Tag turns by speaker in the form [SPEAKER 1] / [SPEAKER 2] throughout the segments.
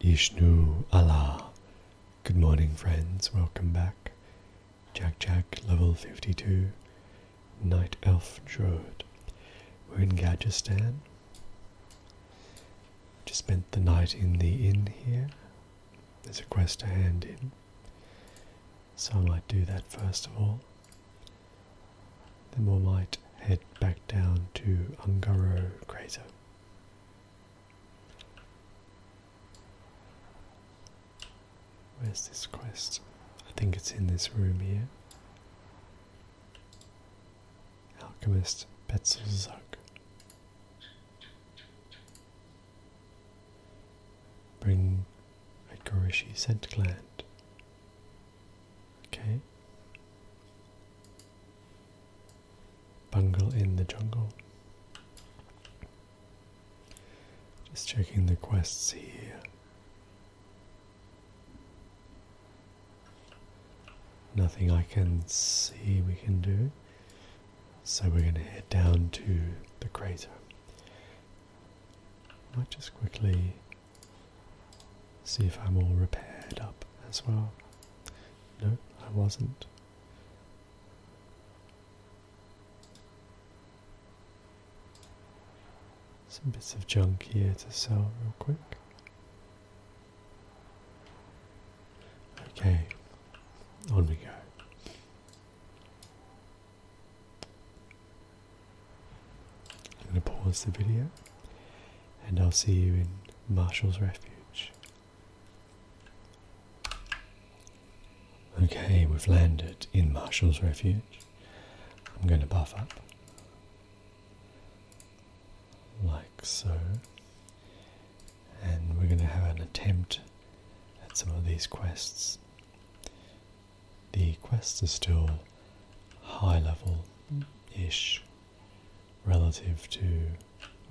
[SPEAKER 1] Ishnu Allah. Good morning, friends. Welcome back. Jack Jack, level 52. Night Elf Druid. We're in Gajistan. Just spent the night in the inn here. There's a quest to hand in. So I might do that first of all. Then we might head back down to Ungaro crater. Where's this quest? I think it's in this room here. Alchemist Betzelzug. Bring a Gorishi scent gland. Okay. Bungle in the jungle. Just checking the quests here. Nothing I can see we can do. So we're going to head down to the crater. I might just quickly See if I'm all repaired up as well. No, I wasn't. Some bits of junk here to sell real quick. Okay, on we go. I'm going to pause the video and I'll see you in Marshall's Refuge. Okay, we've landed in Marshall's Refuge. I'm going to buff up. Like so. And we're going to have an attempt at some of these quests. The quests are still high level ish relative to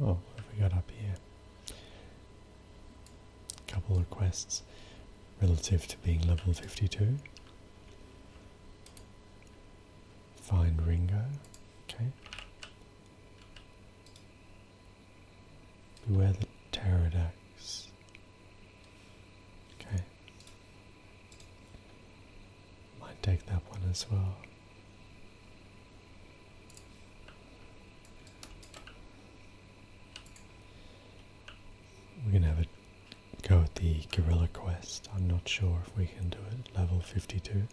[SPEAKER 1] oh what have we got up here a couple of quests relative to being level 52 find Ringo okay beware the pterodactyls okay might take that one as well. We're gonna have a go at the Gorilla Quest. I'm not sure if we can do it. Level 52.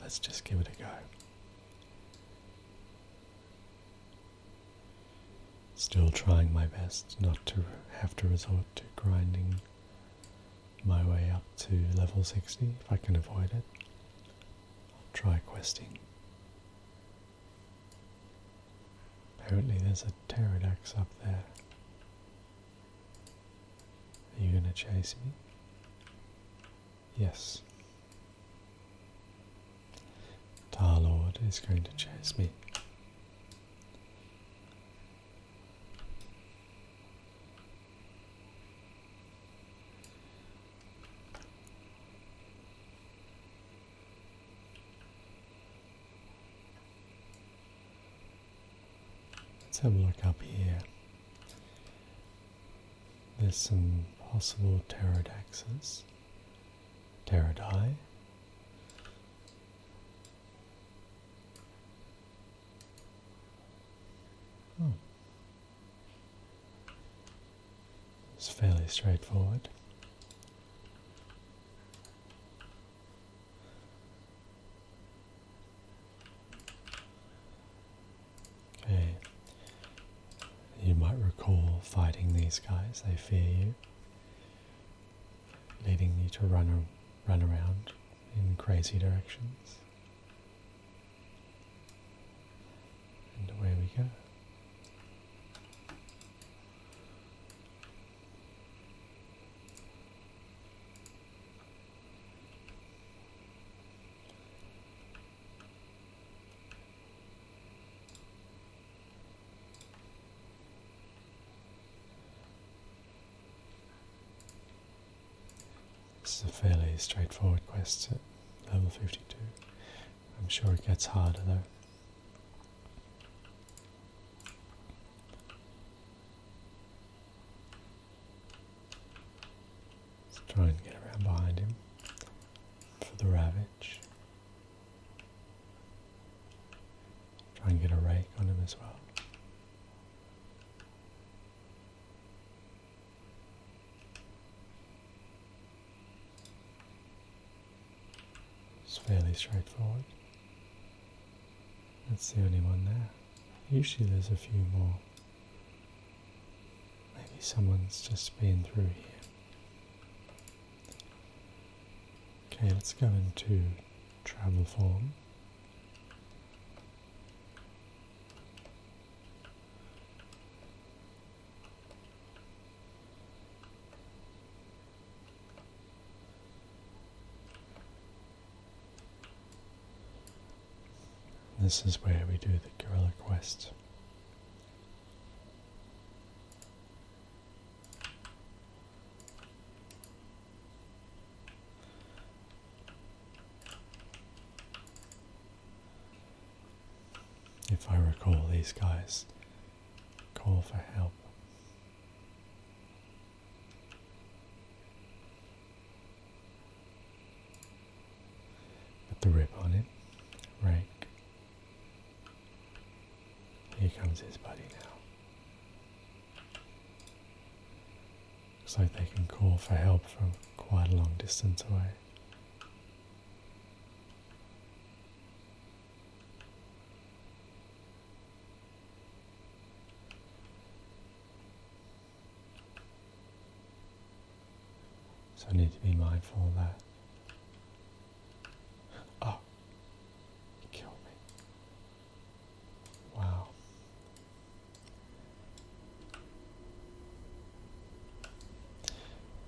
[SPEAKER 1] Let's just give it a go. Still trying my best not to have to resort to grinding my way up to level 60 if I can avoid it. I'll try questing. Apparently there's a pterodax up there. Are you gonna chase me? Yes. Lord is going to chase me. Let's have a look up here. There's some possible pterodactyls. Pterodi. Hmm. It's fairly straightforward. Okay, you might recall fighting these guys, they fear you, leading you to run run around in crazy directions. And away we go. This is a fairly straightforward quest level 52. I'm sure it gets harder though. Let's try and get around behind him for the ravage. Try and get a rake on him as well. It's fairly straightforward. That's the only one there. Usually there's a few more. Maybe someone's just been through here. Okay, let's go into travel form. This is where we do the guerrilla quest. If I recall, these guys call for help. With the rip on it, Rake. Here comes his buddy now. Looks like they can call for help from quite a long distance away. So I need to be mindful of that. Oh, ah, he killed me. Wow.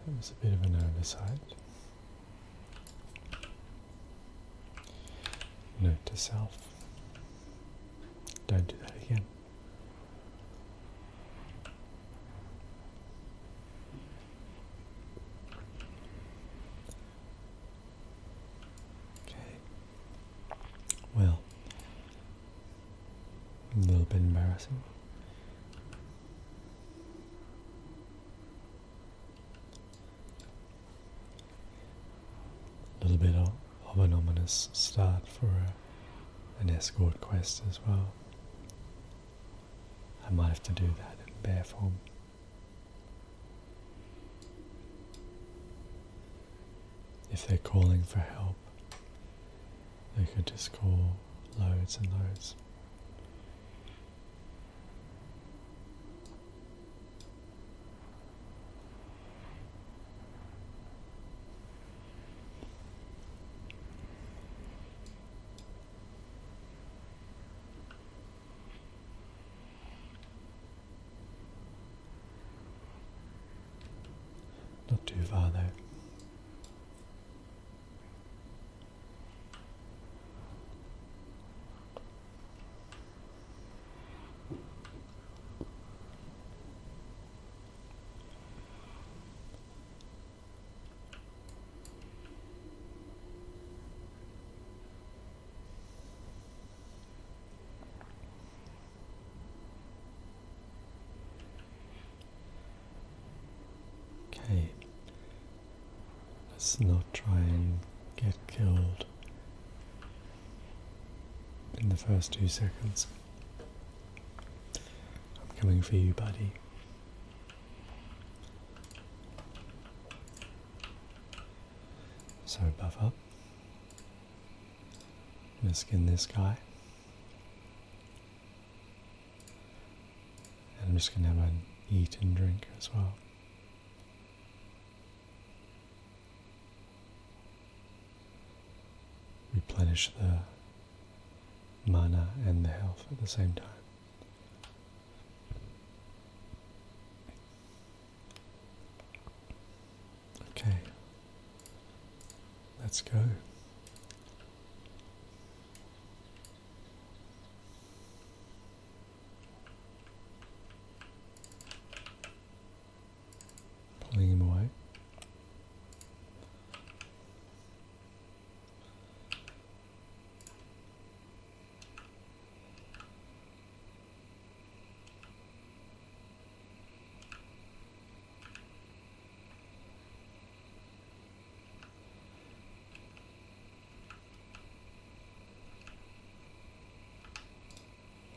[SPEAKER 1] That was a bit of an oversight. Note to self. Don't do that again. Okay. Well, a little bit embarrassing. A little bit of, of an ominous start for an escort quest as well. I might have to do that in bear form. If they're calling for help, they could just call loads and loads. Not too far though. Okay, let's not try and get killed in the first two seconds. I'm coming for you, buddy. So buff up. Going to skin this guy. And I'm just going to have an eat and drink as well. Replenish the mana and the health at the same time. Okay. Let's go. Pulling him away.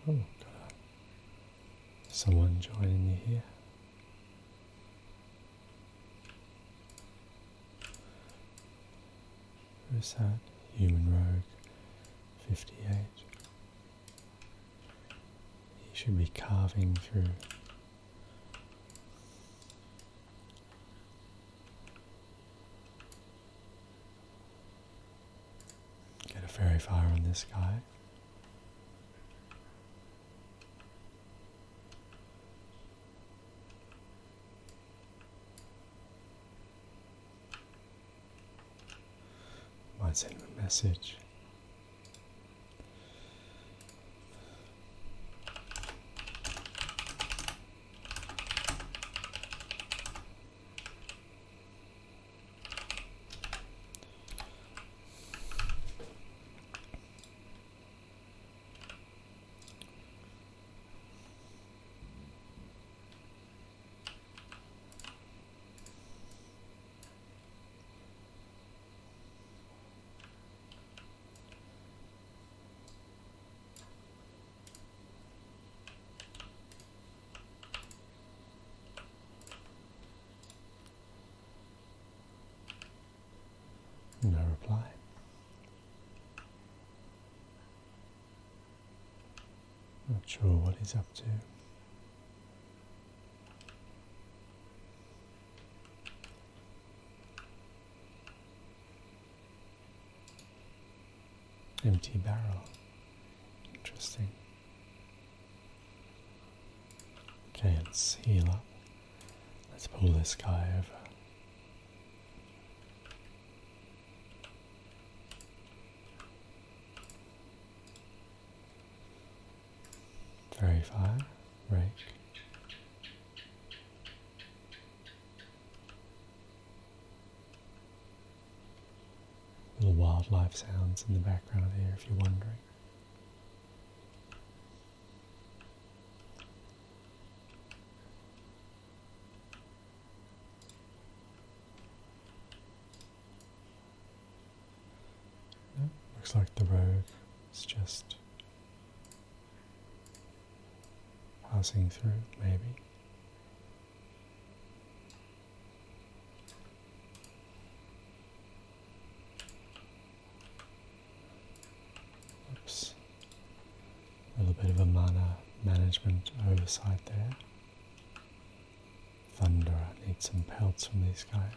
[SPEAKER 1] Oh, got someone joining me here. Who's that? Human Rogue 58. He should be carving through. Get a fairy fire on this guy. Might send him a message. No reply. Not sure what he's up to. Empty barrel. Interesting. Okay, let's heal up. Let's pull this guy over. Very far, right. Little wildlife sounds in the background here, if you're wondering looks like the road is just passing through, maybe. Oops. A little bit of a mana management oversight there. Thunder, I need some pelts from these guys.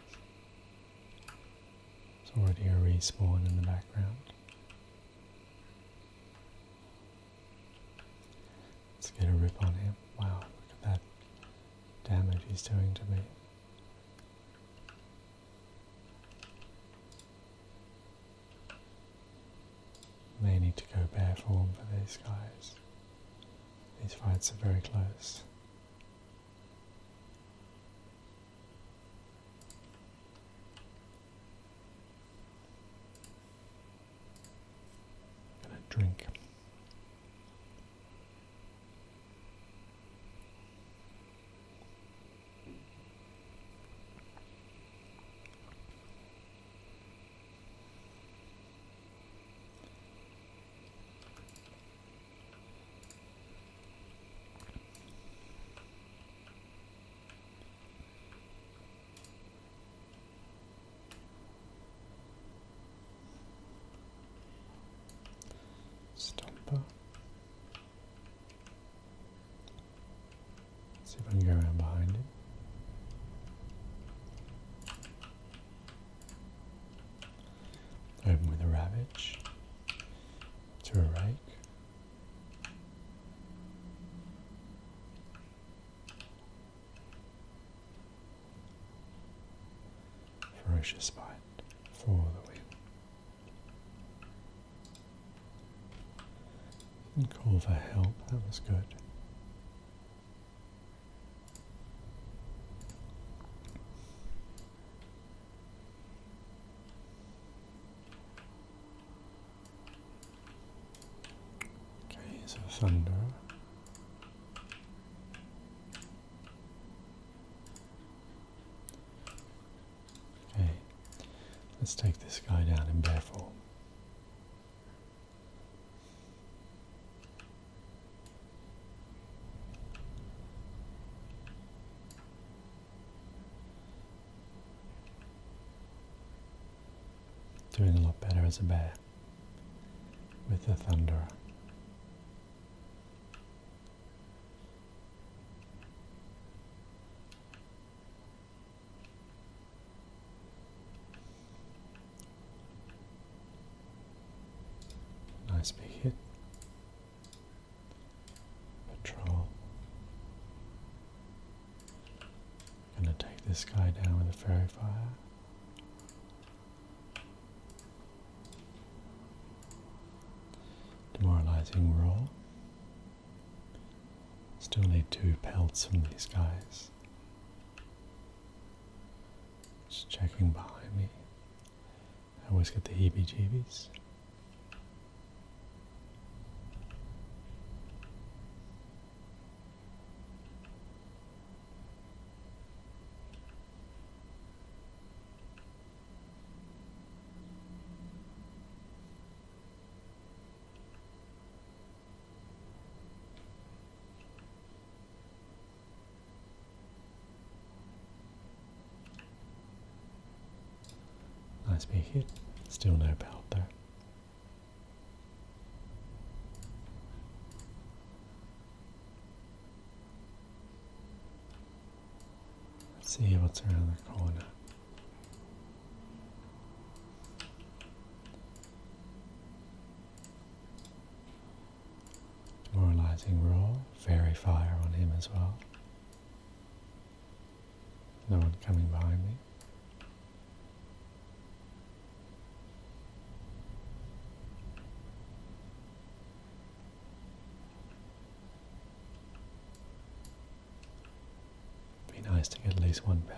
[SPEAKER 1] It's already a respawn in the background. Let's get a rip on him. Wow, look at that damage he's doing to me. May need to go bare form for these guys. These fights are very close. Gonna drink. Stomper. Let's see if I can go around behind it. Open with a ravage to a rake. Ferocious bite for the win. did call for help, that was good. Okay, so thunder. Okay, let's take this guy down in Bearfall. Doing a lot better as a bear with the thunder. Nice big hit. Patrol. Gonna take this guy down with a fairy fire. Demoralizing roll. Still need two pelts from these guys. Just checking behind me. I always get the heebie jeebies. Nice big hit. Still no belt though. Let's see what's around the corner. Demoralizing roar, fairy fire on him as well. No one coming behind me. Be nice to get at least one belt.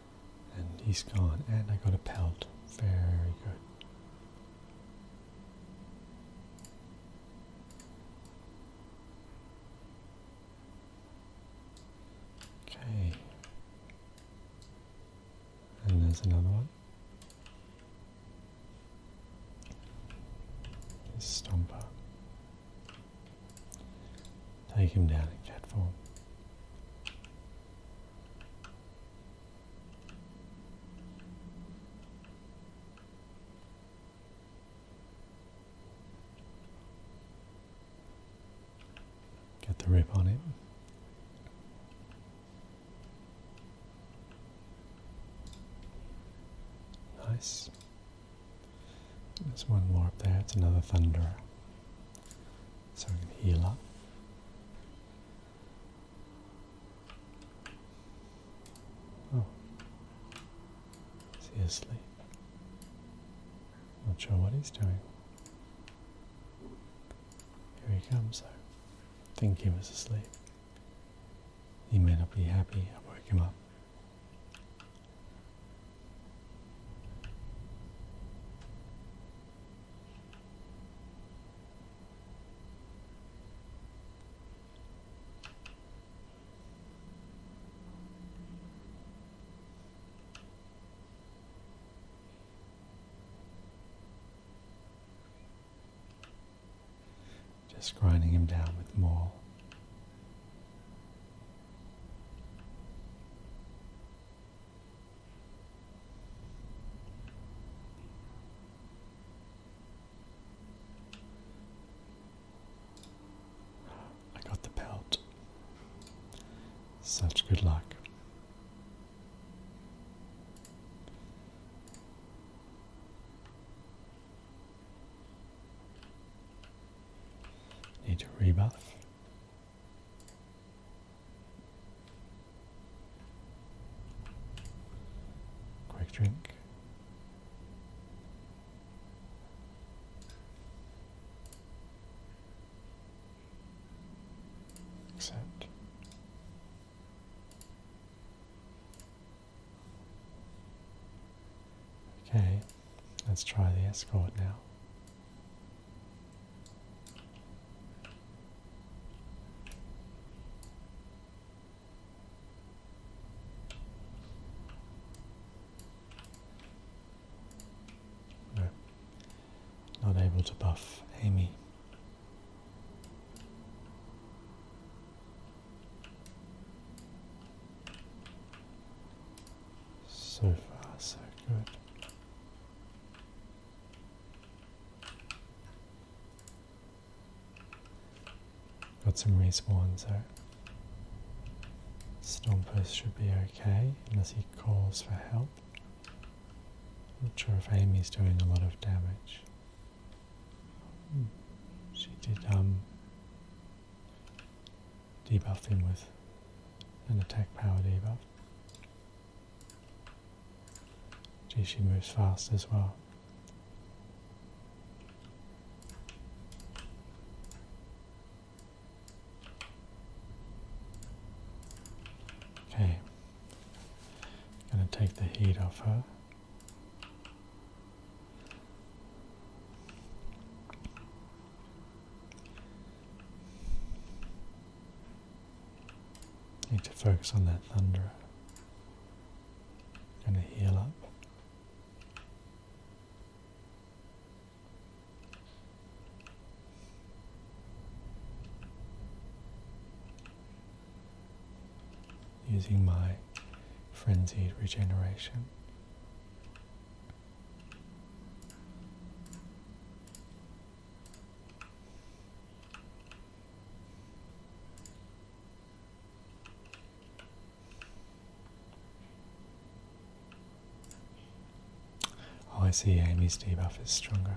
[SPEAKER 1] And he's gone. And I got a pelt. Very good. Okay. And there's another one. stomper. Take him down in cat form. Get the rip on it. Nice. There's one more up there, it's another Thunderer. So I can heal up. Oh. he's asleep? Not sure what he's doing. Here he comes I think he was asleep. He may not be happy I will wake him up. Just grinding him down with more. I got the belt. Such good luck. Need to rebuff. Quick drink. Accept. Okay, let's try the escort now. No, not able to buff Amy. So far, so good. Got some respawns there. Stompers should be okay, unless he calls for help. Not sure if Amy's doing a lot of damage. Hmm. She did um, debuff him with an attack power debuff. Gee, she moves fast as well. Okay, I'm gonna take the heat off her. Need to focus on that thunderer. Going to heal up. Using my frenzied regeneration. Oh, I see Amy's debuff is stronger.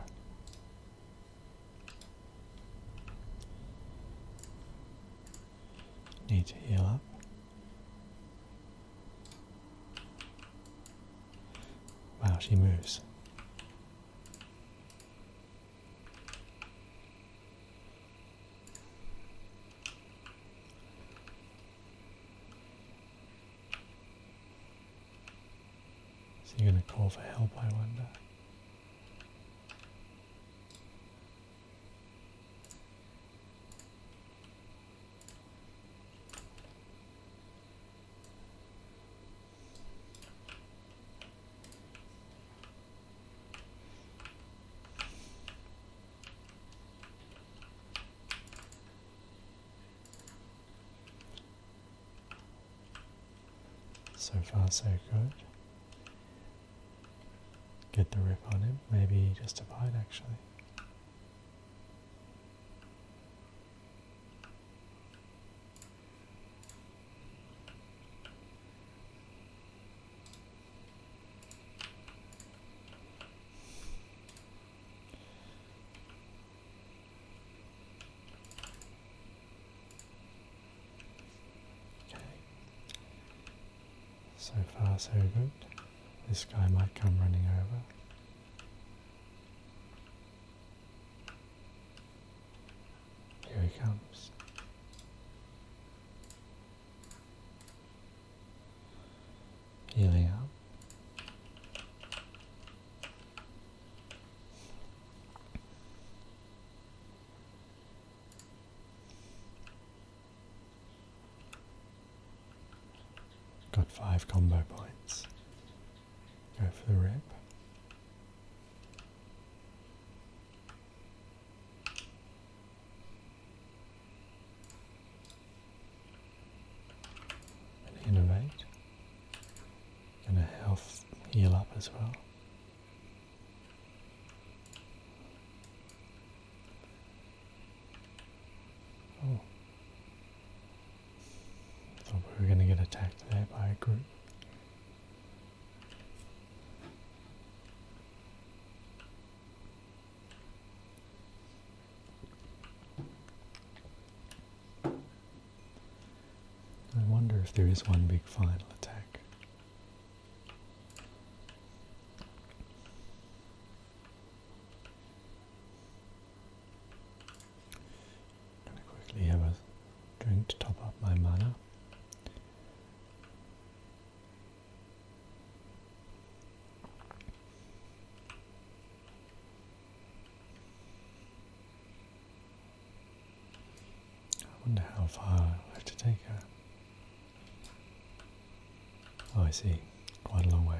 [SPEAKER 1] Need to heal up. Wow, she moves. Is he going to call for help, I wonder? So far, so good. Get the rip on him, maybe just a bite actually. So far so good. This guy might come running over. Here he comes. Healing up. Got five combo points. Go for the rip. And innovate. And a health heal up as well. Oh. Thought we were gonna get attacked there by a group. I wonder if there is one big final attack. I'm going to quickly have a drink to top up my mana. I wonder how far I have to take her. Oh, I see. Quite a long way.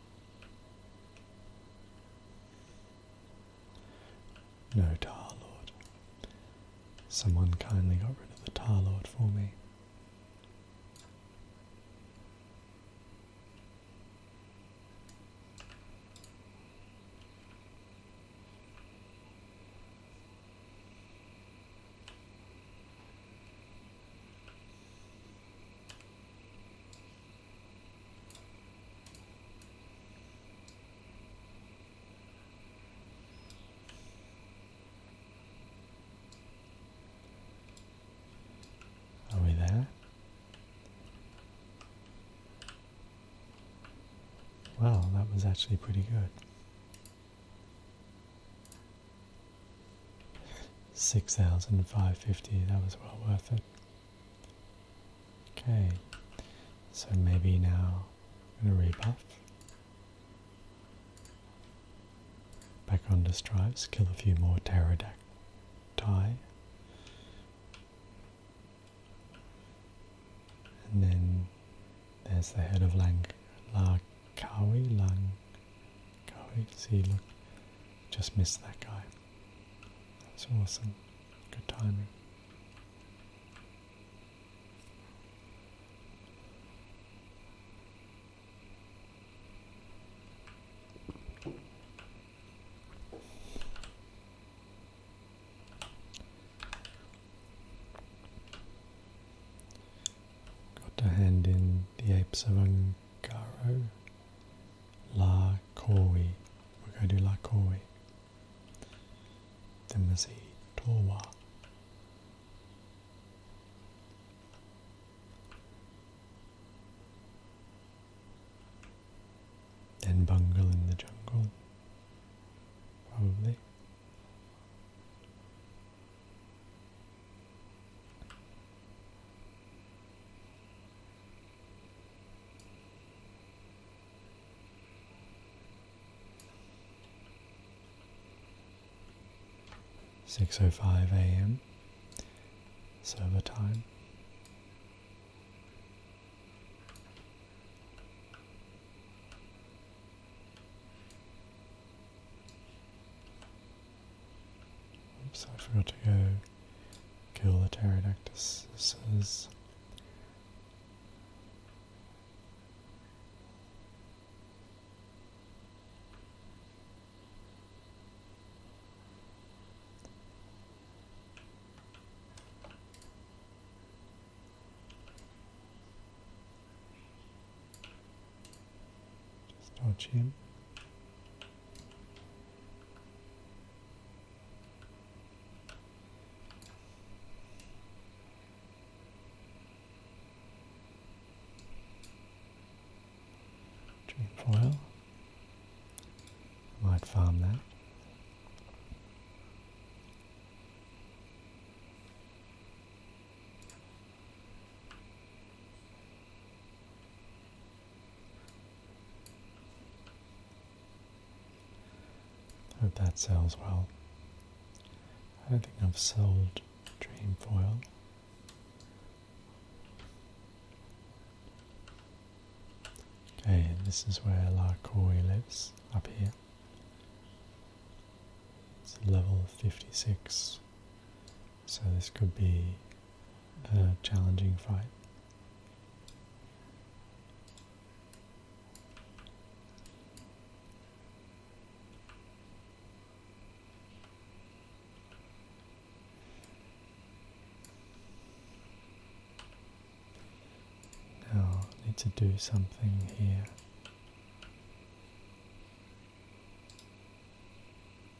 [SPEAKER 1] No Tar Lord. Someone kindly got rid of the Tar Lord for me. Are we there? Well, that was actually pretty good. Six thousand five fifty. That was well worth it. Okay, so maybe now I'm gonna rebuff. Back on the strives, kill a few more pterodactyl. And then there's the head of Lang Kawi Lang Go, see, look, just missed that guy. That's awesome. Good timing. Got a hand in the apes of Ungaro. La Koi. We're going to do La Koi. Then we'll see Towa. Then Bungle in the Jungle. Probably. Six oh five AM server time. Oops, I forgot to go kill the pterodactyls. Just touch him. Dreamfoil. Might farm that. Hope that sells well. I don't think I've sold Dream Foil. Okay, this is where La Coy lives, up here. It's level 56. So this could be a challenging fight. Now I need to do something here.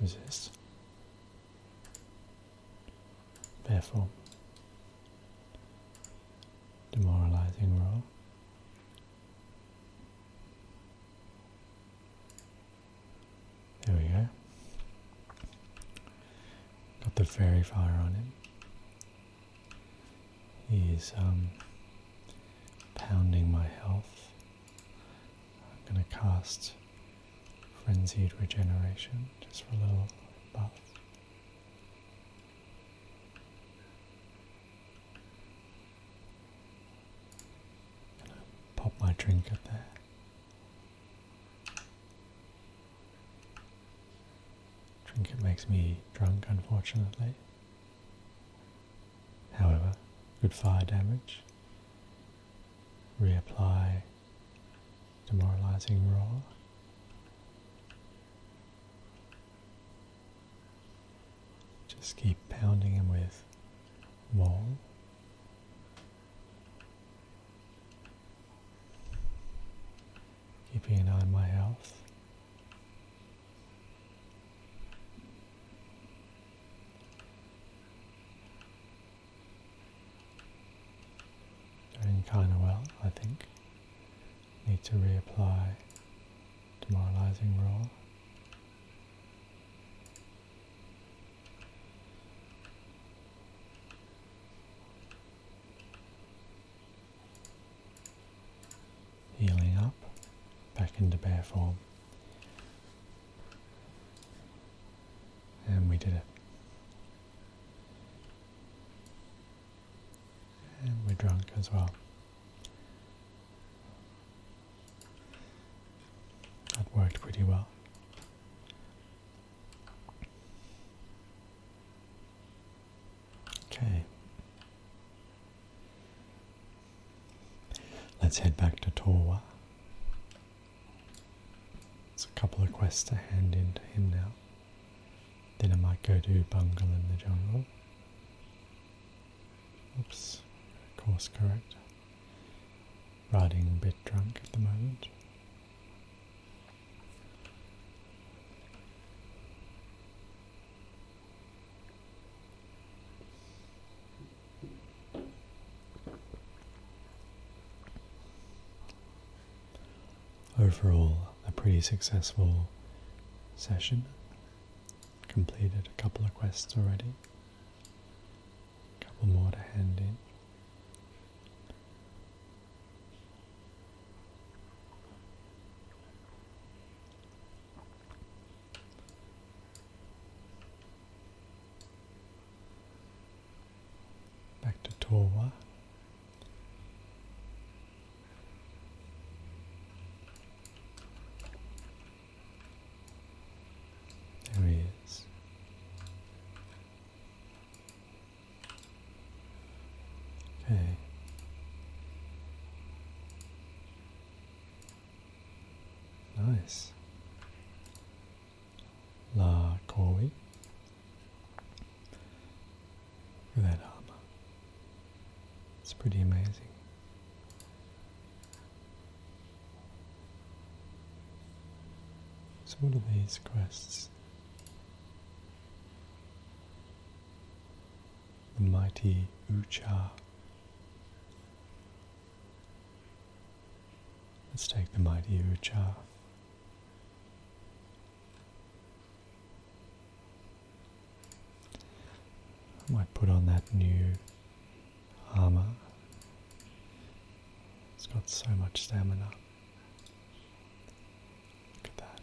[SPEAKER 1] Who's this? Therefore, demoralizing role. There we go. Got the fairy fire on him. He's um, pounding my health. I'm going to cast Frenzied Regeneration just for a little buff. going to pop my trinket there. Drink it makes me drunk, unfortunately. However, good fire damage reapply demoralizing roll. Just keep pounding him with wall. Keeping an eye on my health. Doing kind of well, I think. Need to reapply demoralizing roll. Healing up, back into bear form. And we did it. And we're drunk as well. That worked pretty well. Okay. Let's head back to Torwa. It's a couple of quests to hand in to him now. Then I might go to Bungle in the Jungle. Oops, course correct. Riding a bit drunk at the moment. Overall, a pretty successful session. Completed a couple of quests already. couple more to hand in. Back to Torwa. There he is. Okay. Nice la koi for that hama. It's pretty amazing. So what are these quests? The mighty Ucha. Let's take the mighty Ucha. I might put on that new armor. It's got so much stamina. Look at that.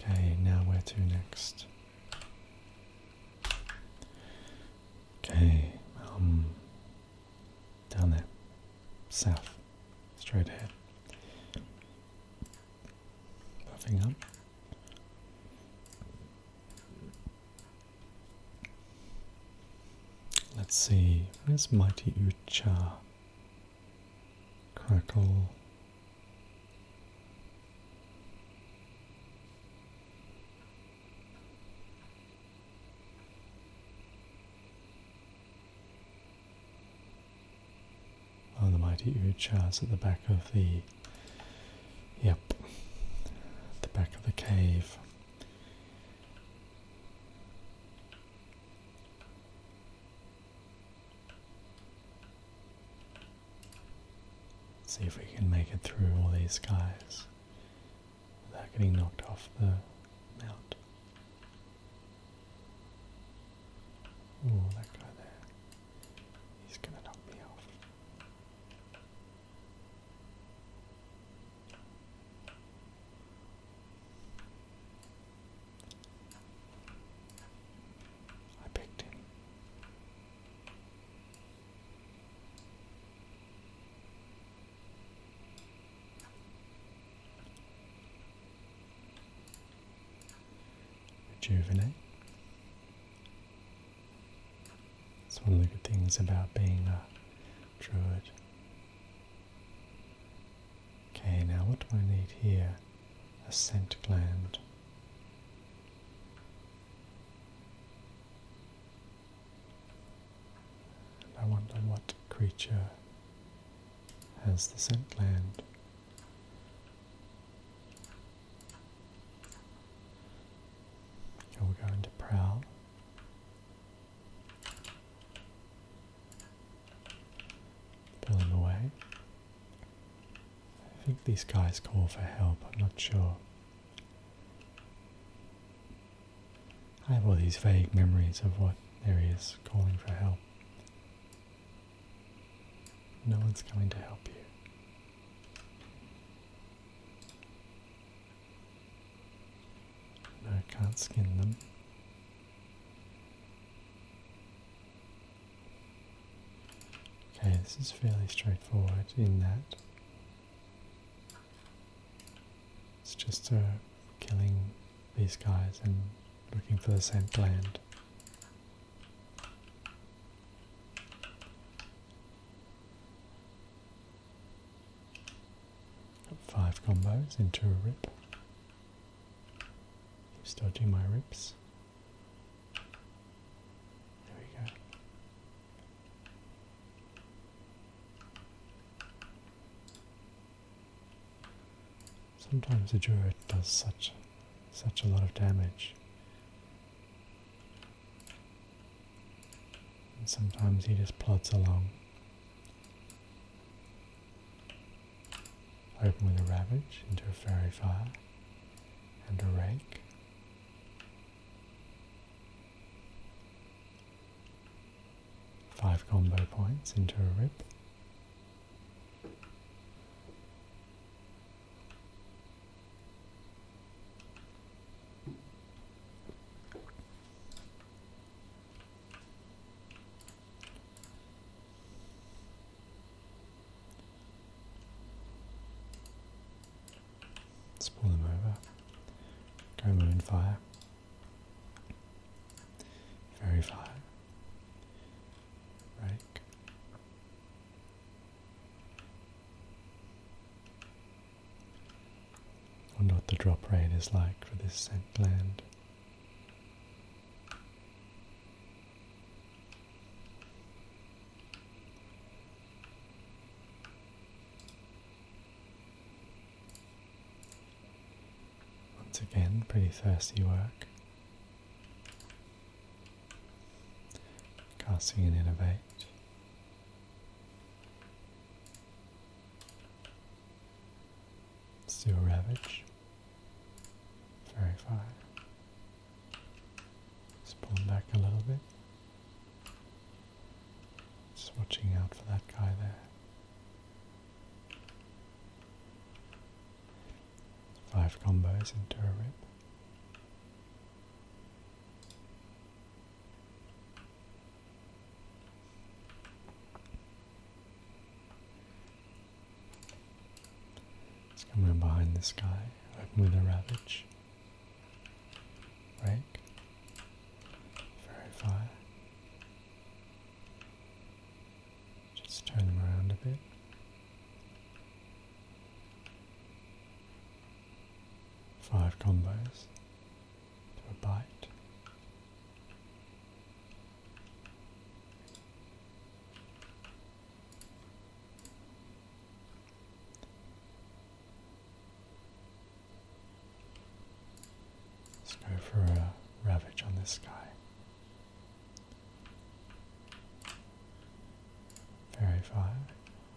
[SPEAKER 1] Okay, now where to next? Okay, um, down there. South. Straight ahead. Puffing up. Let's see, where's Mighty Ucha? Crackle. Oh, the mighty Uchas at the back of the, yep, the back of the cave. see if we can make it through all these guys without getting knocked off the mount. Oh, that guy there. He's going to knock me off. I picked him rejuvenate. It's one of the good things about being a druid. Okay, now what do I need here? A scent gland. I wonder what creature has the scent land. Okay, we go into prowl. Pulling away. I think these guys call for help, I'm not sure. I have all these vague memories of what there is calling for help. No one's coming to help you. No, I can't skin them. Okay, this is fairly straightforward in that it's just uh, killing these guys and looking for the scent gland. five combos into a rip. Keeps dodging my rips. There we go. Sometimes the druid does such such a lot of damage. And sometimes he just plods along. opening with a ravage into a fairy fire and a rake. Five combo points into a rip. Let's pull them over. Go moonfire. fire. Very fire. Right. Wonder what the drop rain is like for this scent land. Once again, pretty thirsty work. Casting and innovate. Still ravage. Verify. Spawn back a little bit. Just watching out for that guy there. Five combos into a rip. It's coming behind this guy, open with a ravage rank, verify, just turn around a bit. Five combos to a bite. Let's go for a ravage on this guy. Fairy fire,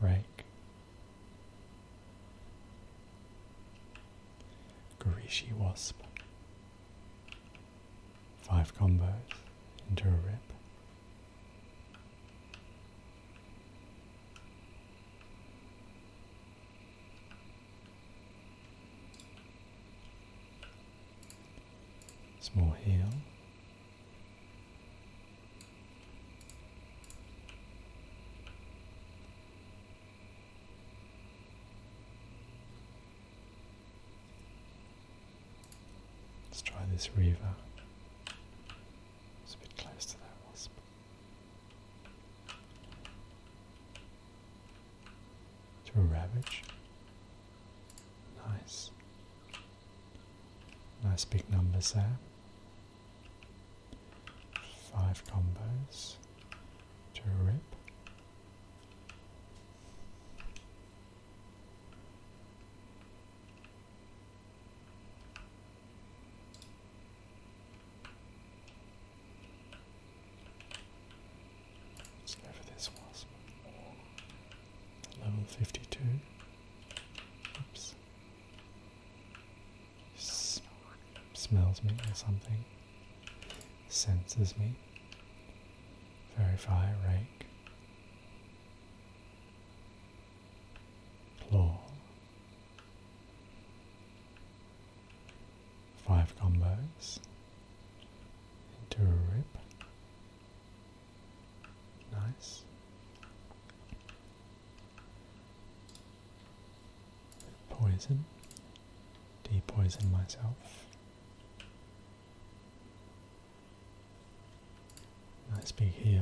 [SPEAKER 1] rake. Garishi wasp. Five combos into a rip. Small hill. Let's try this river. It's a bit close to that wasp to ravage. Nice. Nice big numbers there. Five combos to rip. Let's this wasp. Level 52. smells me or something. Senses me. Verify, rake. Claw five combos into a rip. Nice. Poison. Depoison myself. Nice big heal.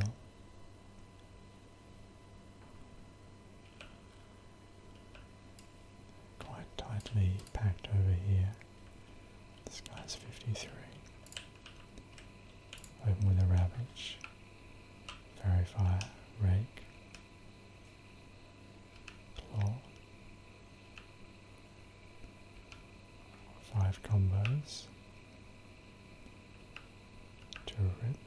[SPEAKER 1] Quite tightly packed over here. This guy's 53. Open with a ravage. Verify, rake, claw. Five combos. To rip.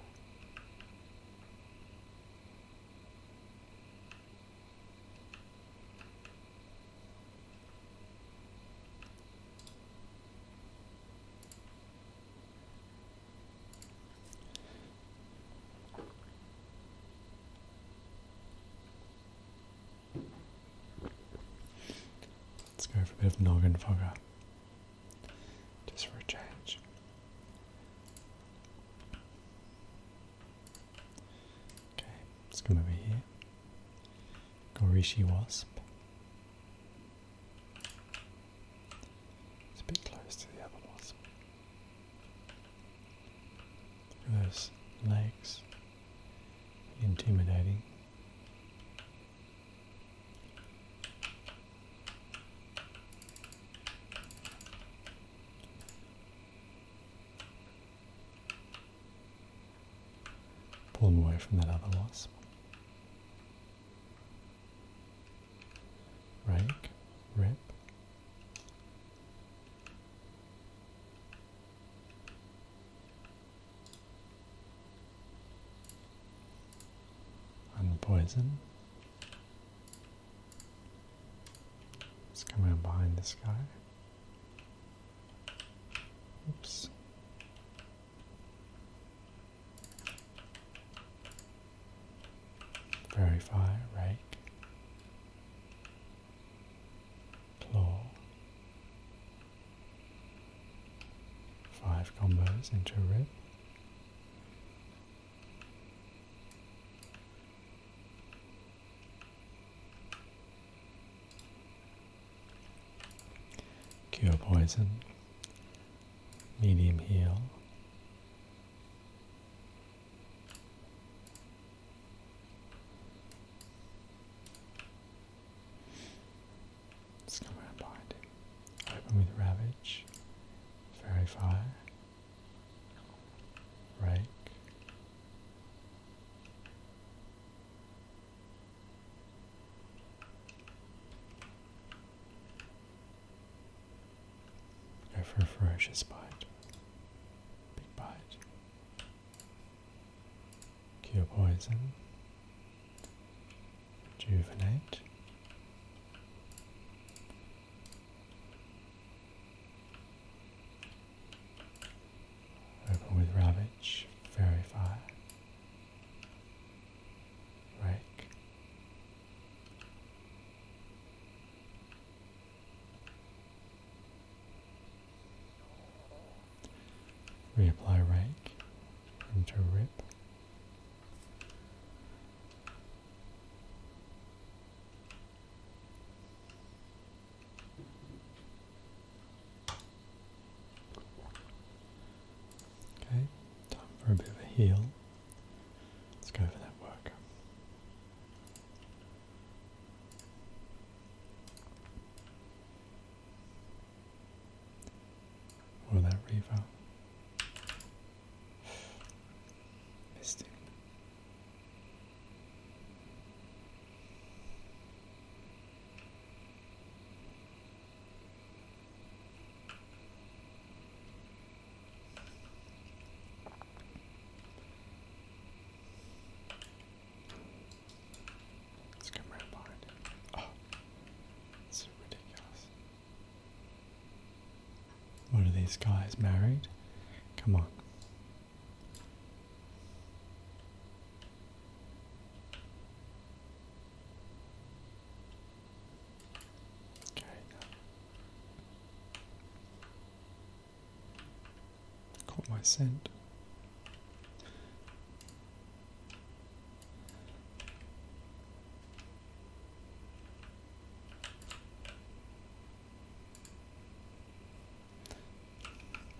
[SPEAKER 1] Let's go for a bit of noggin fogger. Just for a change. Okay, let's come over here. Gorishi Wasp. It's a bit close to the other wasp. Look those legs. Intimidating. Pull them away from that other wasp. Rake, rip. Unpoison. Let's come in behind this guy. Oops. Verify, rake, claw, five combos into a rib, Cure poison, medium heal. let Open with Ravage, Fairy Fire. Right. Go for a ferocious bite. Big bite. Cure poison. Rejuvenate. Open with Ravage, Verify, Rake. Reapply rank. into Rip. Okay, time for a bit of a heal. Let's go for that work. Or that reaver. Missed Let's come behind Oh, it's ridiculous. What are these guys married? Come on. Okay. Caught my scent.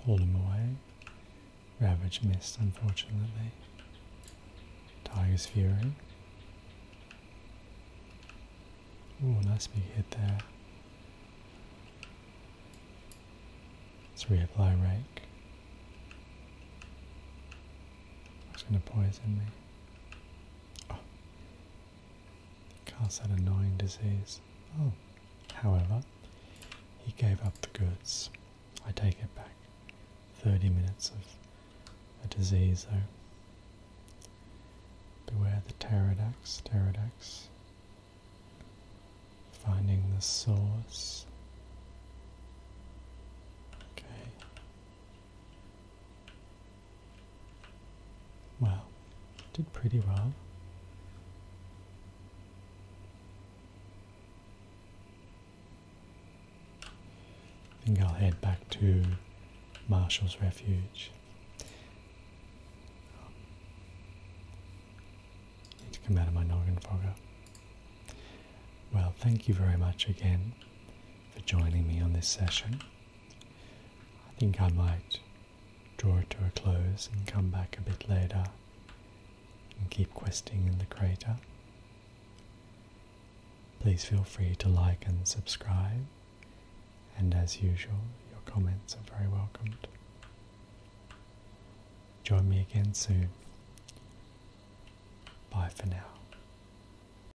[SPEAKER 1] Call him away. Ravage missed, unfortunately. Tiger's Fury. Ooh, nice big hit there. Let's reapply Rake. It's going to poison me. Oh. had annoying disease. Oh, however, he gave up the goods. I take it back. 30 minutes of a disease, though. Beware the pterodax, Finding the source. Okay, Wow, did pretty well. I think I'll head back to Marshall's Refuge. Need to come out of my noggin fogger. Well, thank you very much again for joining me on this session. I think I might draw it to a close and come back a bit later and keep questing in the crater. Please feel free to like and subscribe, and as usual, your comments are very welcomed. Join me again soon. Bye for now.